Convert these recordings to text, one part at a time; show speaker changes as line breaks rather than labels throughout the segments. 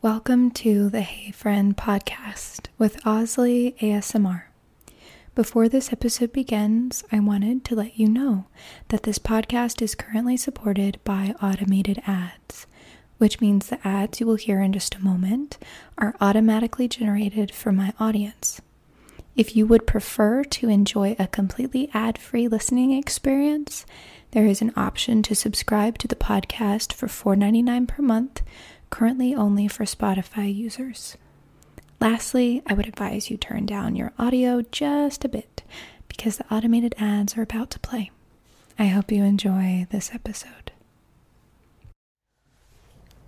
Welcome to the Hey Friend podcast with Osley ASMR. Before this episode begins, I wanted to let you know that this podcast is currently supported by automated ads, which means the ads you will hear in just a moment are automatically generated for my audience. If you would prefer to enjoy a completely ad free listening experience, there is an option to subscribe to the podcast for $4.99 per month, currently only for Spotify users. Lastly, I would advise you turn down your audio just a bit because the automated ads are about to play. I hope you enjoy this episode.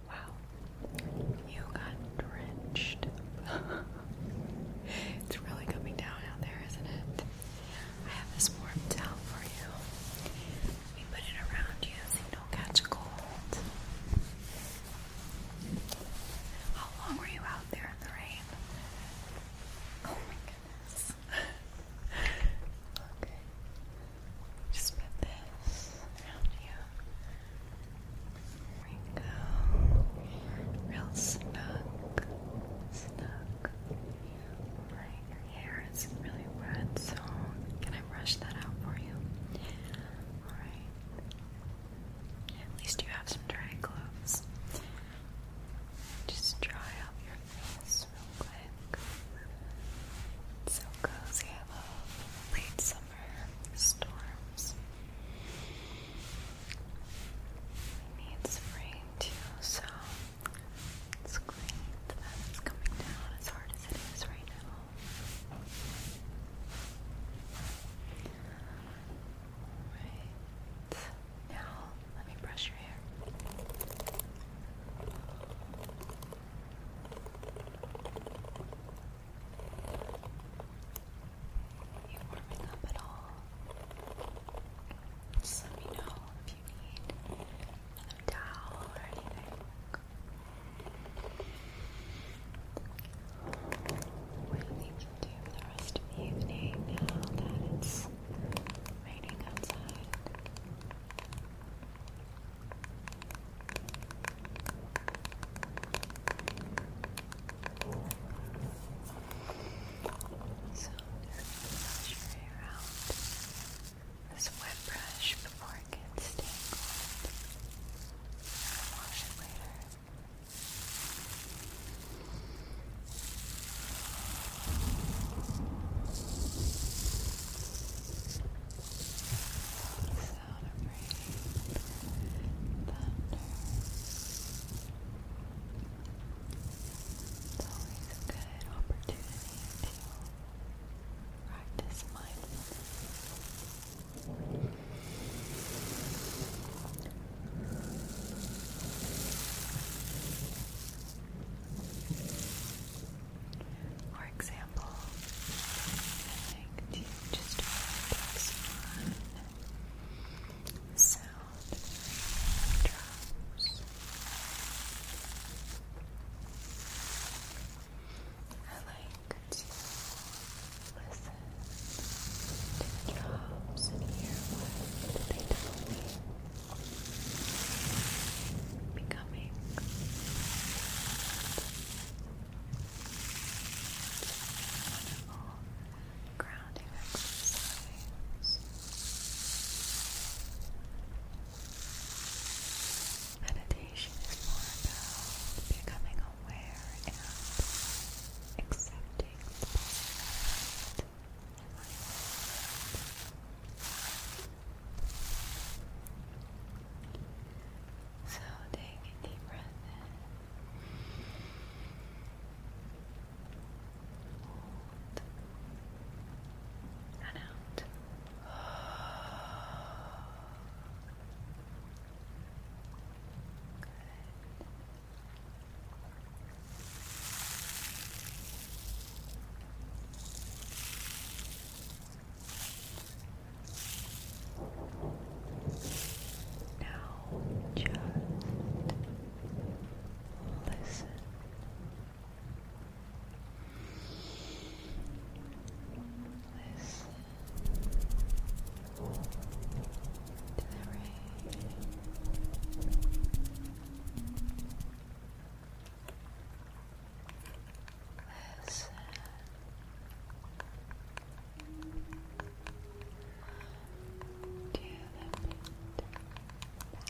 Wow, you got drenched. it's really coming down out there, isn't it?
I have this warm towel for you. We put it around you so you don't catch cold. How long were you out there in the rain? Oh my goodness. Just put this around you. There we go. Real Snug. Snug your hair is really wet, so can I brush that out for you? Alright. At least you have some dry gloves. Just dry up your face real quick. so cozy, I love late summer storms. It needs too, so it's great that it's coming down as hard as it is right now. Right. Now, let me brush your hair. You warming up at all? Just let me know towel if you need another towel do for the rest of the evening now that it's raining outside? So powder brush right around this wet brush before it gets tangled. i wash it later. Sound of rain, thunder. It's always a good opportunity to practice mindfulness. For example, to just focus on sound drums. I like to listen to the and hear what they tell me. wonderful grounding exercise. Meditation is more about becoming aware and accepting the moment So take a deep breath in. Hold. And out. Now just listen Listen to the rain. Listen to the wind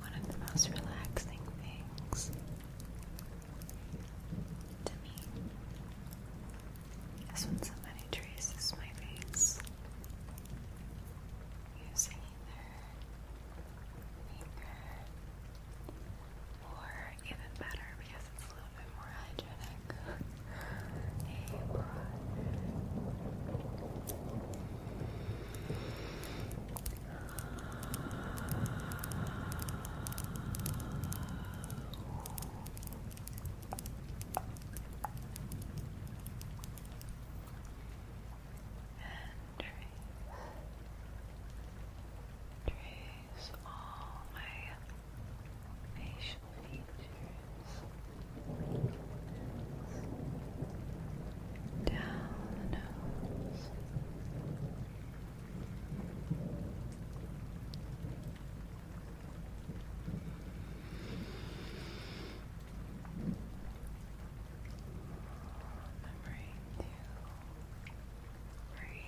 One of the most relaxing things to me is when somebody traces my face using either finger or even better because it's a little bit more hygienic. a brush. And trace, trace all my facial features down the nose. Remembering to breathe. Remember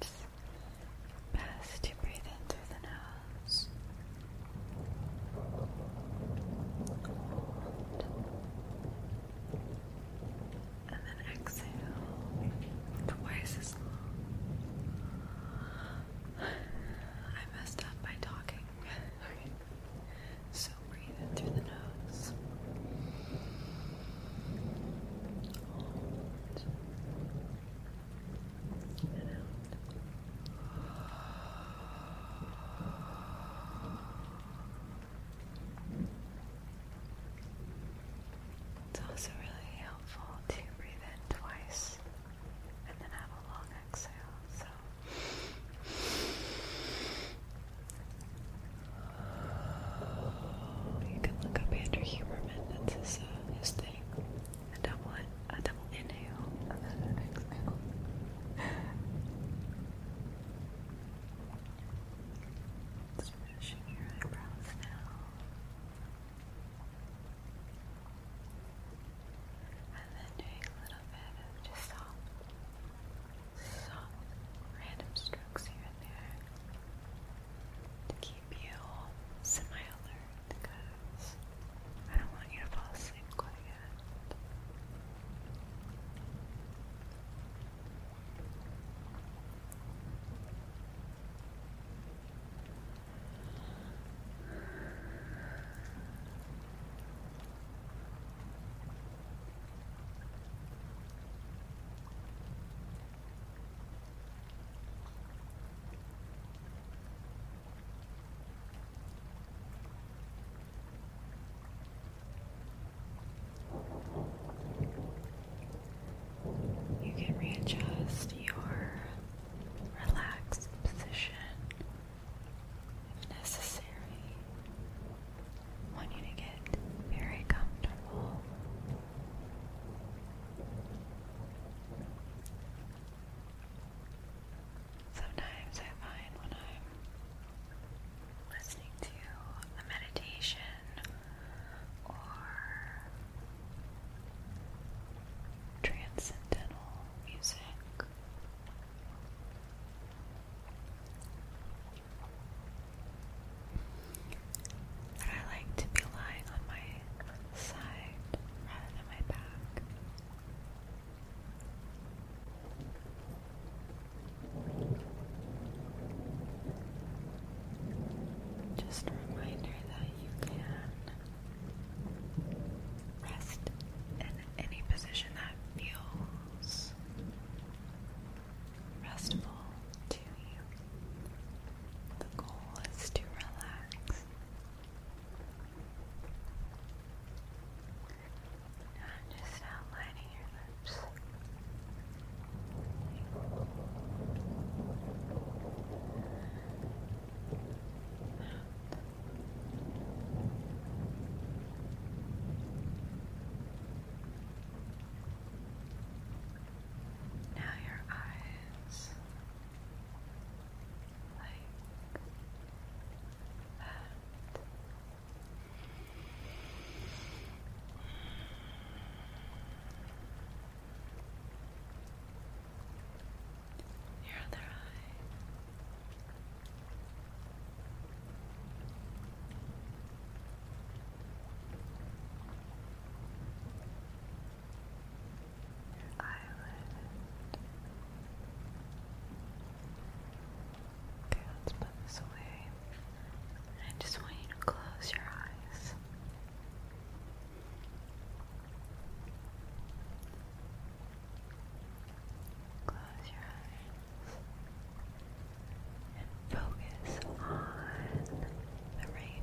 it's Best to breathe in through the nose. And then exhale twice as long. I messed up by talking. So breathe in through the nose and It's also really helpful to breathe in twice and then have a long exhale. So. You can look up Andrew Huberman, that's his, uh, his thing a double a double inhale and your eyebrows now. And then doing a little bit of just soft, soft, random strokes here and there to keep you semi alert. I don't want you to fall asleep quite yet. You can readjust your relaxed position if necessary. want you to get very comfortable. Sometimes I find when I'm listening to a meditation or transcendental music. That I like to be lying on my side rather than my back. Just a reminder that you can rest in any position that feels restful to you. The goal is to relax I'm just outlining your lips. Now your eyes like that. Um, your other eye. Okay, let's put this away. I just want you to close your eyes. Close your eyes and focus on the rain.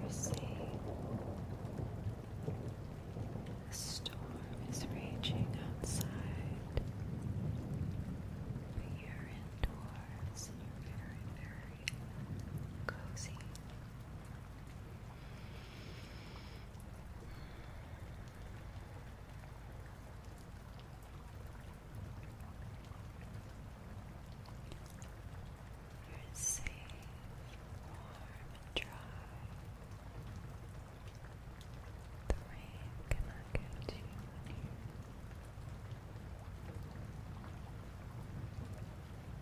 you're safe. The storm is raging outside, but you're indoors and you're very, very cozy. You're safe, warm, dry. The rain cannot get you in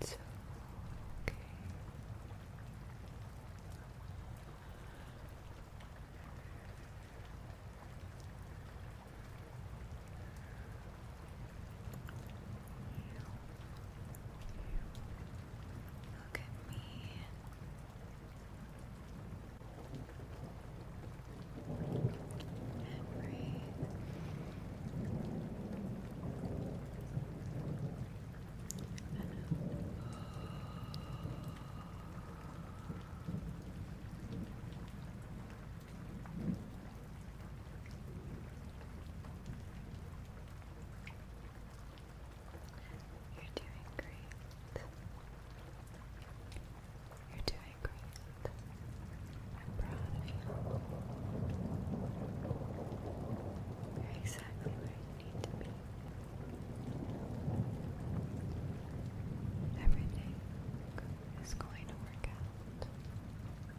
It's okay. Look at me. And breathe. You're doing great. You're doing great. I'm proud of you. You're exactly where you need to be. Everything is going to work out. Relax.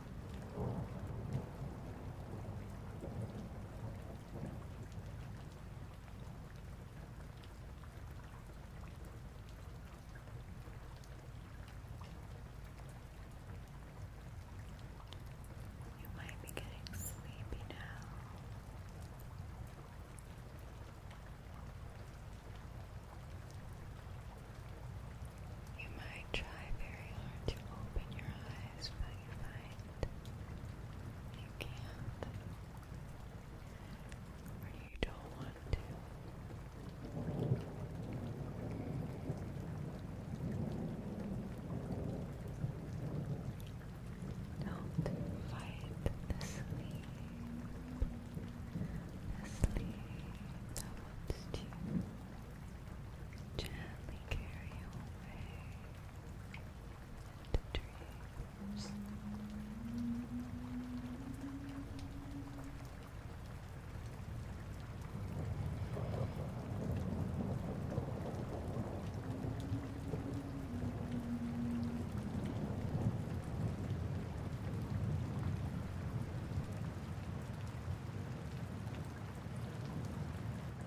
You might be getting sleepy now. You might try very hard to open your eyes, but you find you can't or you don't want to. Don't fight the sleep. The sleep that wants to Gently carry away the dreams.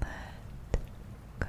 Let go.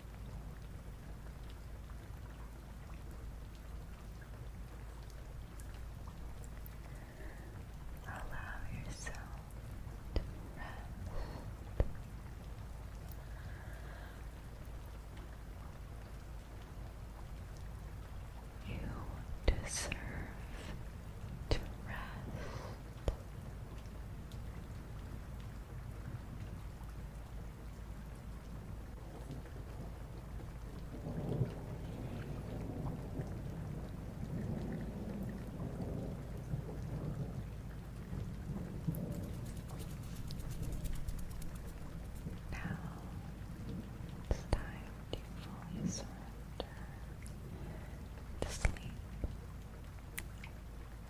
Allow yourself to rest. You deserve to rest. Now it's time to fully surrender to sleep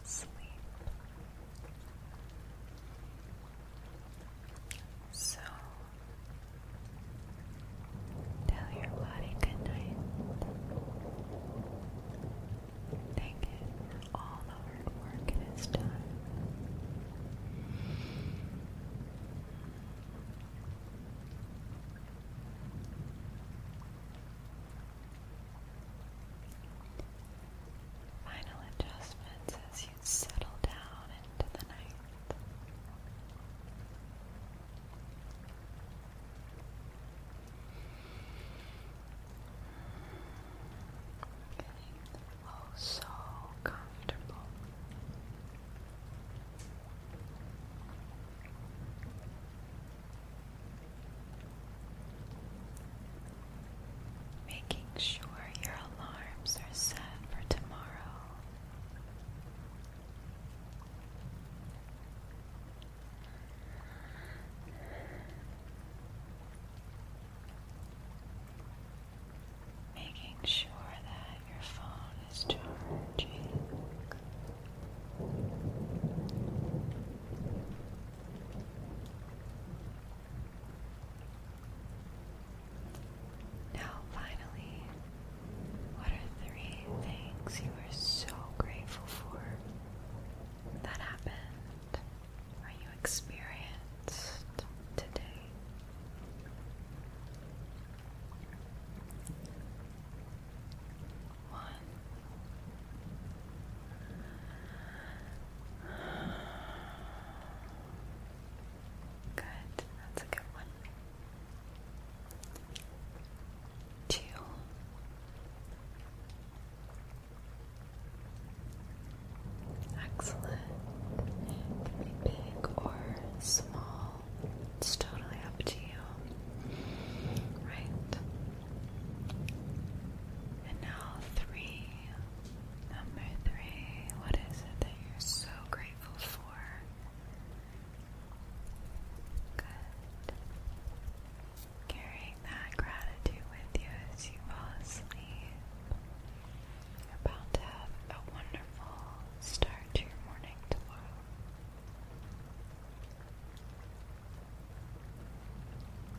sleep. So tell your body good night. Take it all the hard work it has done. Final adjustments as you settle down into the night. Getting so comfortable. Making sure your alarms are set for tomorrow. Making sure that your phone is charging. Now, finally, what are three things you are so grateful for that happened or you experienced today? one. Good, that's a good one. Two. Excellent. big or small. It's totally up to you. Right? And now three. Number three. What is it that you're so grateful for? Carrying that gratitude with you as you fall asleep. about to have a wonderful start to your morning tomorrow.